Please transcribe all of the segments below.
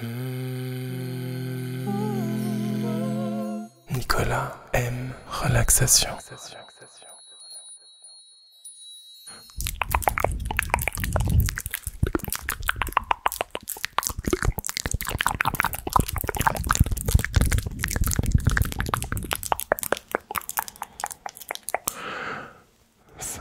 Hmm. Nicolas aime relaxation.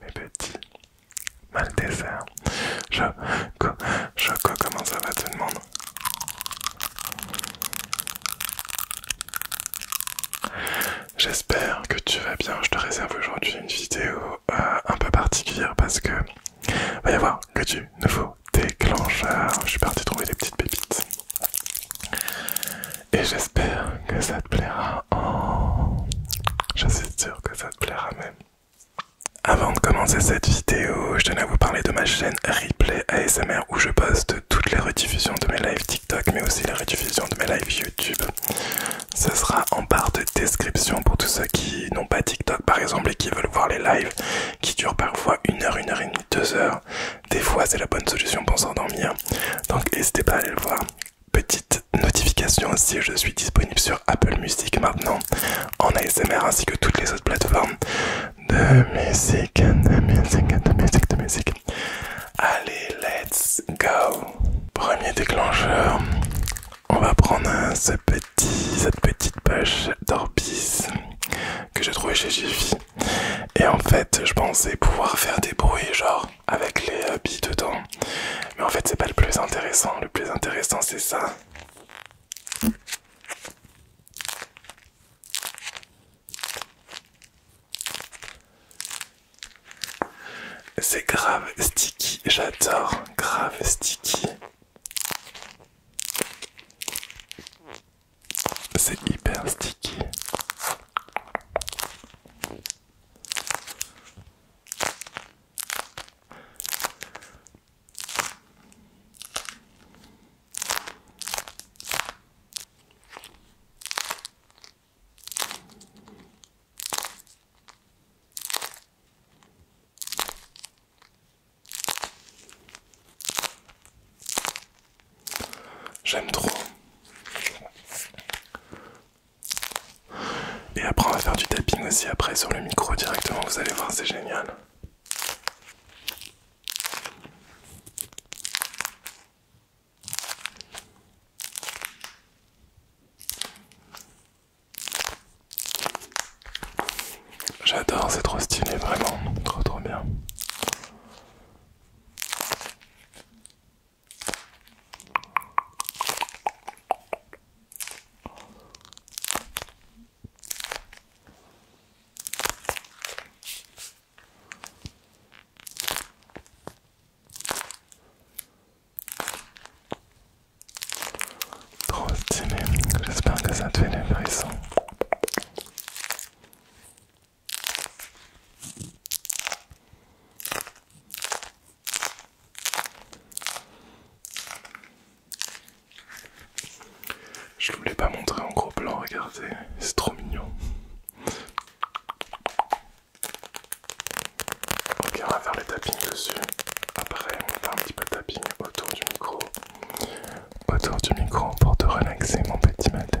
Mes petits, mal dessert. Je Choco, comment ça va tout le monde J'espère que tu vas bien. Je te réserve aujourd'hui une vidéo euh, un peu particulière parce que va y avoir que du nouveau déclencheur. Je suis parti trouver des petites pépites. Et j'espère que ça te plaira. Oh, je suis sûr que ça te plaira même. Avant de commencer cette vidéo, je tenais à vous parler de ma chaîne Replay ASMR où je poste toutes les rediffusions de mes lives TikTok mais aussi les rediffusions de mes lives YouTube. Ce sera en barre de description pour tous ceux qui n'ont pas TikTok par exemple et qui veulent voir les lives qui durent parfois une heure, une heure et demie, deux heures. Des fois c'est la bonne solution pour s'endormir. Donc n'hésitez pas à aller le voir. Petite notification aussi, je suis disponible sur Apple Music maintenant en ASMR ainsi que toutes les autres plateformes de musique, de musique, de musique, de musique. Allez, let's go. Premier déclencheur, on va prendre ce petit, cette petite poche d'Orbis que j'ai trouvé chez Jiffy. Et en fait, je pensais pouvoir faire des bruits genre avec les euh, billes dedans. Mais en fait, c'est pas le plus intéressant. Le plus intéressant, c'est ça. C'est grave sticky, j'adore, grave sticky. C'est hyper sticky. J'aime trop. Et après on va faire du tapping aussi après sur le micro directement, vous allez voir, c'est génial. J'adore, c'est trop stylé, vraiment, trop trop bien. Trop stylé, j'espère que ça te fait les frissons. Je ne voulais pas montrer en gros plan, regardez, c'est trop mignon. Ok, on va faire le tapping dessus. Après, on va faire un petit peu de tapping autour du micro. Autour du micro pour te relaxer, mon petit matin.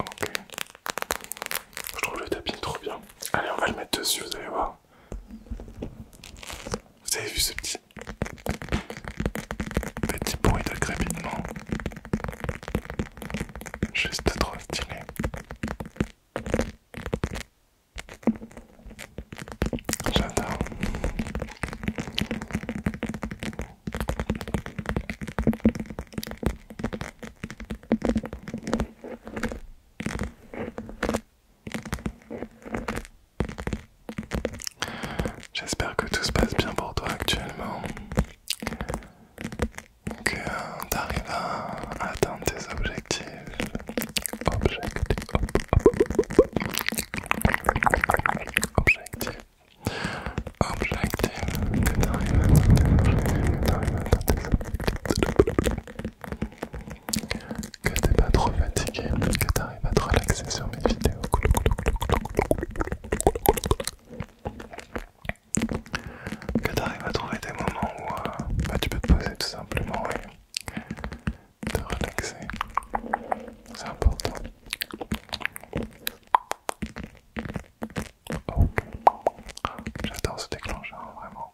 Ok. Je trouve le tapis trop bien. Allez, on va le mettre dessus, vous allez voir. Vous avez vu ce petit... Petit bruit de crépitement. Juste trop stylé. J'adore. J'espère que tout se passe bien pour toi actuellement, que euh, tu arrives à atteindre tes objectifs. Objectif, objectif objective que t'arrives à que t'es pas trop fatigué, que t'arrives à te relaxer sur mes vidéos. Que t'arrives à trouver des moments où euh, bah, tu peux te poser tout simplement et te relaxer. C'est important. Oh. J'adore ce déclencheur, vraiment.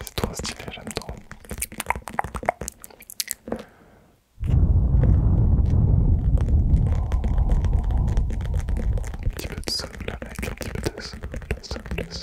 C'est trop stylé, j'aime trop. Un petit peu de this. Let's do this. Let's do this.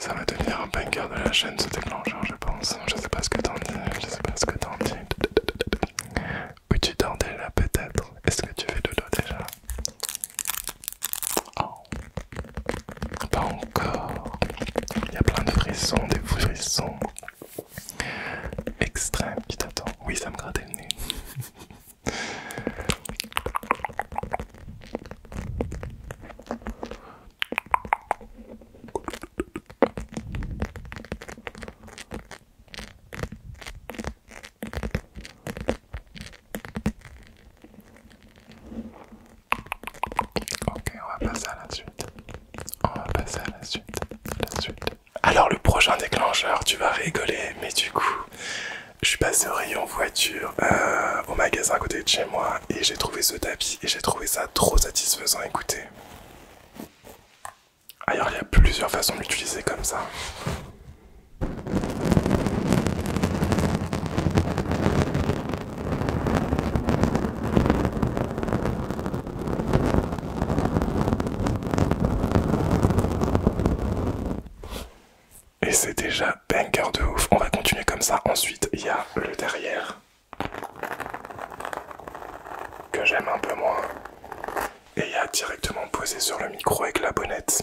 Ça va devenir un bunker de la chaîne ce déclencheur, je pense. Je sais pas ce que t'en dis, je sais pas ce que t'en dis. Ou tu dors déjà peut-être Est-ce que tu fais dodo déjà oh. Pas encore Il y a plein de frissons, des frissons extrêmes qui t'attendent. Oui, ça me grattait le nez. Ok, on va passer à la suite. On va passer à la suite. Alors le prochain déclencheur, tu vas rigoler, mais du coup, je suis passé au rayon voiture, euh, au magasin à côté de chez moi, et j'ai trouvé ce tapis, et j'ai trouvé ça trop satisfaisant, écoutez. Ailleurs, il y a plusieurs façons de l'utiliser comme ça. Et c'est déjà banger de ouf. On va continuer comme ça. Ensuite, il y a le derrière. Que j'aime un peu moins et il a directement posé sur le micro avec la bonnette.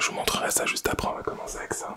Je vous montrerai ça juste après, on va commencer avec ça.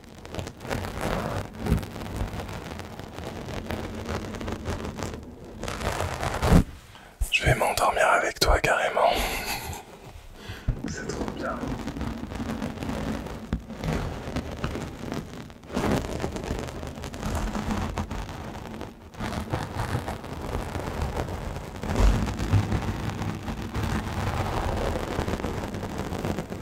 Je vais m'endormir avec toi carrément. trop bien.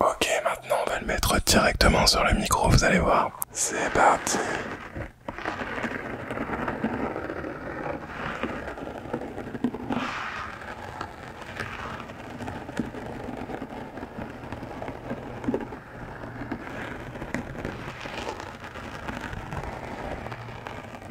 Ok, maintenant on va le mettre directement sur le micro, vous allez voir. C'est parti.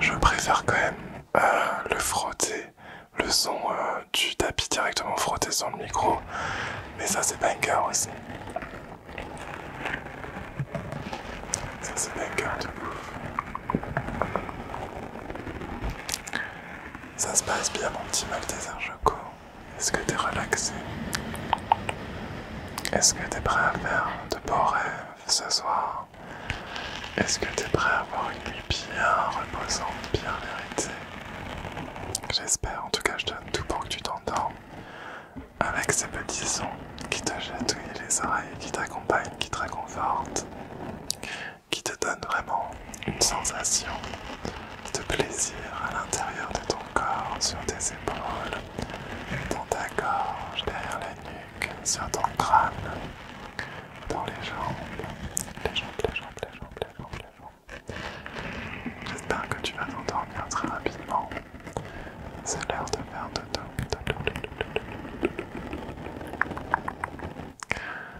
Je préfère quand même euh, le frotter, le son euh, du tapis directement frotté sur le micro, mais ça c'est banger aussi. Ça c'est de ça se passe bien, mon petit mal Malteser Joko Est-ce que t'es relaxé Est-ce que t'es prêt à faire de beaux rêves ce soir Est-ce que t'es prêt à avoir une nuit bien reposante, bien vérité J'espère, en tout cas, je donne tout pour que tu t'endormes avec ces petits sons qui te chatouillent les oreilles, qui t'accompagnent, qui te réconfortent, qui te donne vraiment une sensation de plaisir à l'intérieur de ton corps, sur tes épaules, dans ta gorge, derrière la nuque, sur ton crâne, dans les jambes, les jambes, les jambes, les jambes, les jambes, les jambes. J'espère que tu vas t'endormir très rapidement. C'est l'heure de faire dodo.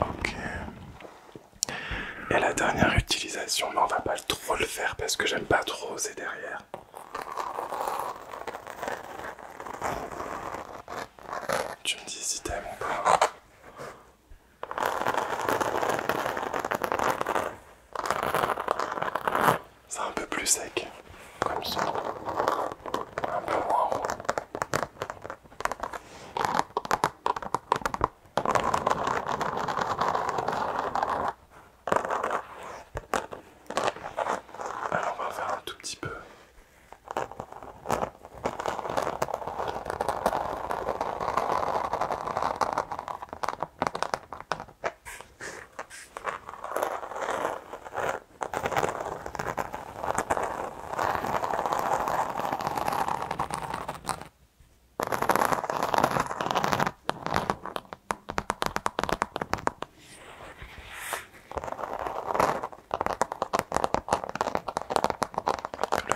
Ok. Et la dernière utilisation, mais on va pas trop le faire parce que j'aime pas trop, oser derrière. Tu me dis si t'aimes ou pas. C'est un peu plus sec, comme ça, un peu moins Alors on va faire un tout petit peu. Le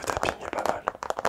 tapping est pas mal.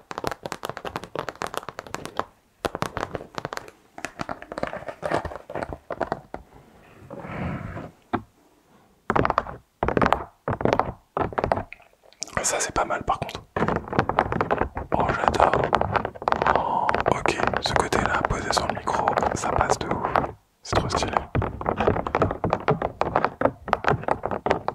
Ah, ça c'est pas mal par contre. Oh j'adore. Oh, ok, ce côté-là, posé sur le micro, ça passe de ouf. C'est trop stylé.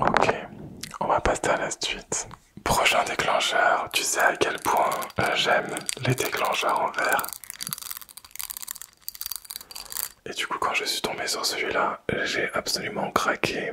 Ok, on va passer à la suite. Prochain déclencheur, tu sais à quel point euh, j'aime les déclencheurs en verre. Et du coup, quand je suis tombé sur celui-là, j'ai absolument craqué.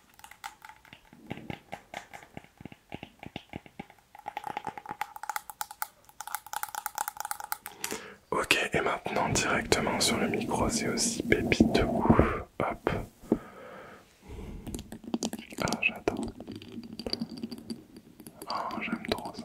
Ok, et maintenant directement sur le micro, c'est aussi pépite de ouf. Hop. Ah, j'adore. Ah, j'aime trop ça.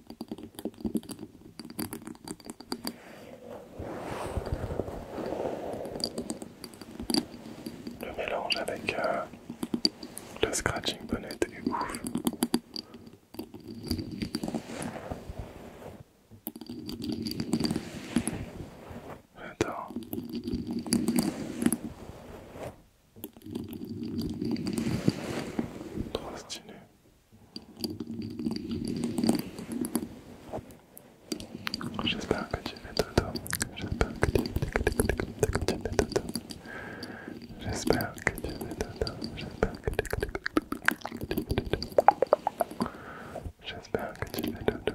Le mélange avec euh, le scratching bonnet est ouf. J'adore. J'espère que tu fais dodo. J'espère que tu fais dodo. J'espère que tu fais dodo. J'espère que tu fais dodo. J'espère que tu fais dodo. J'espère que tu fais dodo.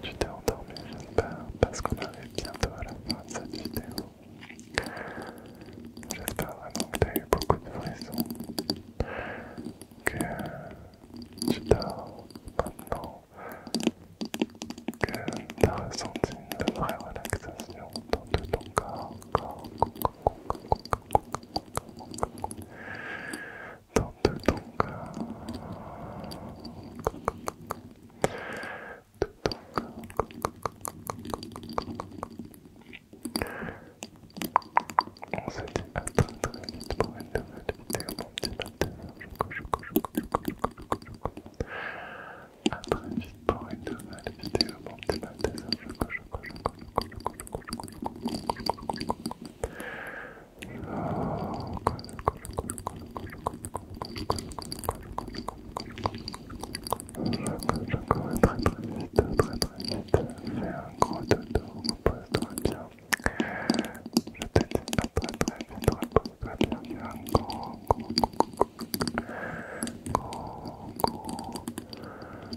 Tu t'es endormi, j'espère, parce qu'on arrive bientôt à la fin de cette vidéo. J'espère vraiment que tu as eu beaucoup de frissons, que tu dors maintenant, que tu as ressenti une vraie relaxation dans tout ton corps dans tout ton corps, On se dit à très très vite pour une nouvelle vidéo, mon petit très vite pour une nouvelle vidéo, mon très très